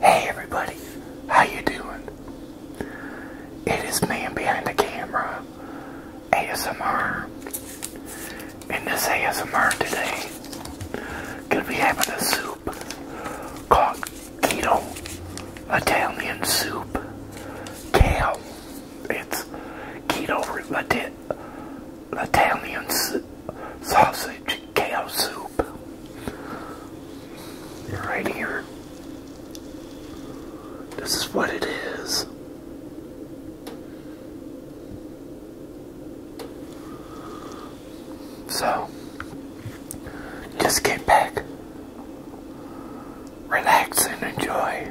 Hey everybody, how you doing? It is man behind the camera, ASMR, and this ASMR today, gonna be having a soup called keto Italian soup, kale. It's keto Italian sausage kale soup right here. This is what it is. So, just get back, relax, and enjoy.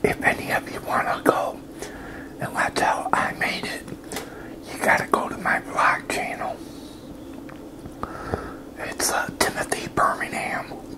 If any of you want to go and let's I made it, you got to go to my vlog channel. It's uh, Timothy Birmingham.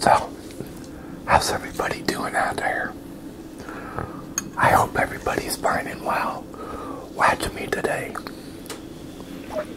So, how's everybody doing out there? I hope everybody's burning well watching me today.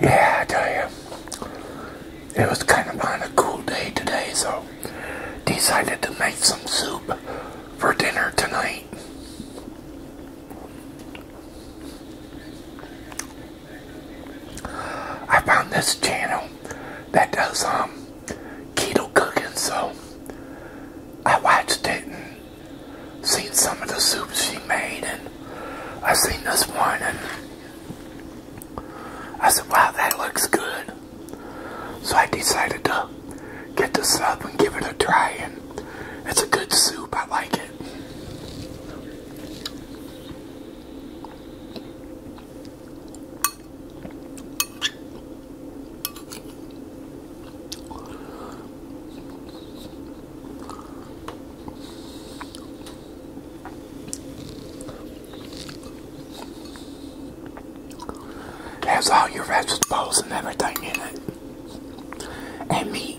Yeah, I tell you, it was kind of on a cool day today, so decided to make some soup for dinner tonight. I found this channel that does um keto cooking, so I watched it seen some of the soups she made, and I seen this one, and I said, wow, that looks good. So I decided to get this up and give it a try, and it's a good soup. I like it. Has all your vegetables and everything in it. And meat.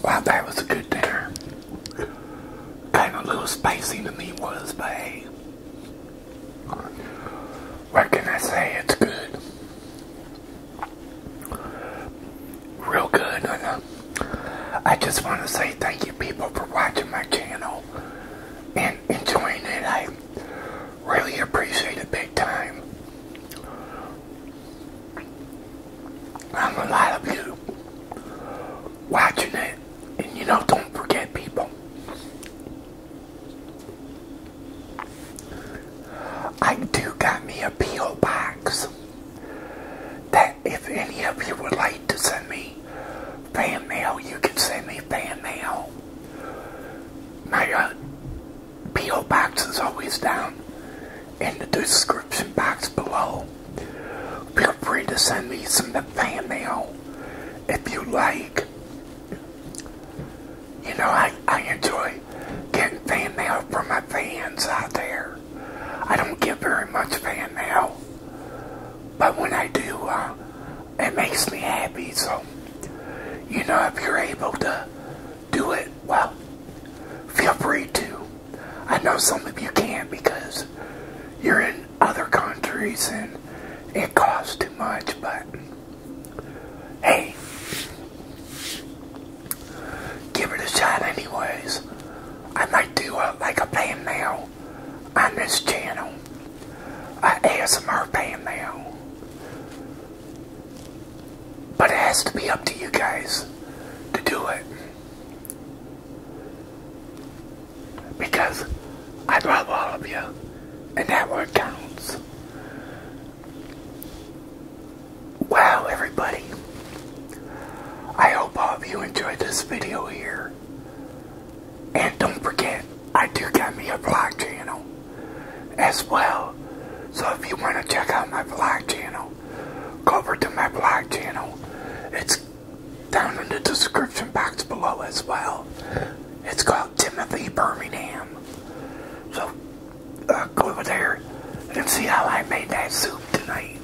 Wow, that was a good dinner. Kind of a little spicy to me was, but hey. What can I say? It's good. Real good. I just want to say thank you people for watching my channel and enjoying it. I really appreciate it big time. I'm a lot of you watching it, and you know, don't forget people. I do got me a P.O. box that if any of you would like to send me fan mail, you can send me fan mail. My uh, P.O. Box is always down in the description box below. Feel free to send me some fan mail if you like. You know, I, I enjoy getting fan mail from my fans out there. I don't get very much fan mail, but when I do, uh, it makes me happy. So, you know, if you're able to do it, well, feel free to. I know some of you can't because you're in other countries and it costs too much, but hey, give it a shot anyways. I might do a, like a band mail on this channel, a ASMR band mail. But it has to be up to you guys to do it. Because I love all of you, and that word counts. Wow, everybody. I hope all of you enjoyed this video here. And don't forget, I do got me a vlog channel as well. So if you want to check out my vlog channel, channel, go over to my blog channel. It's down in the description box below as well. It's called Timothy Birmingham. So uh, go over there and see how I made that soup tonight.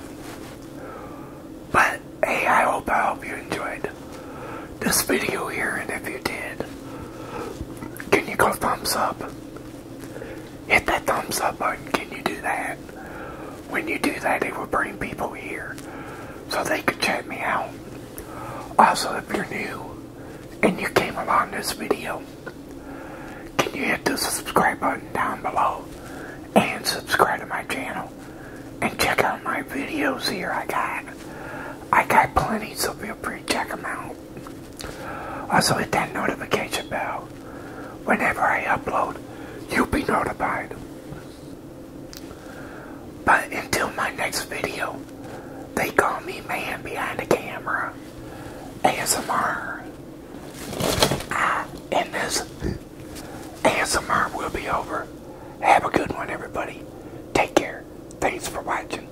But hey, I hope I hope you enjoyed this video here, and if you did, can you go thumbs up? hit that thumbs up button. Can you do that? When you do that, it will bring people here so they can check me out. Also, if you're new and you came along this video, can you hit the subscribe button down below and subscribe to my channel and check out my videos here I got. I got plenty, so feel free to check them out. Also hit that notification bell. Whenever I upload, you'll be notified. But until my next video, they call me man behind the camera. ASMR. and this ASMR will be over. Have a good one, everybody. Take care. Thanks for watching.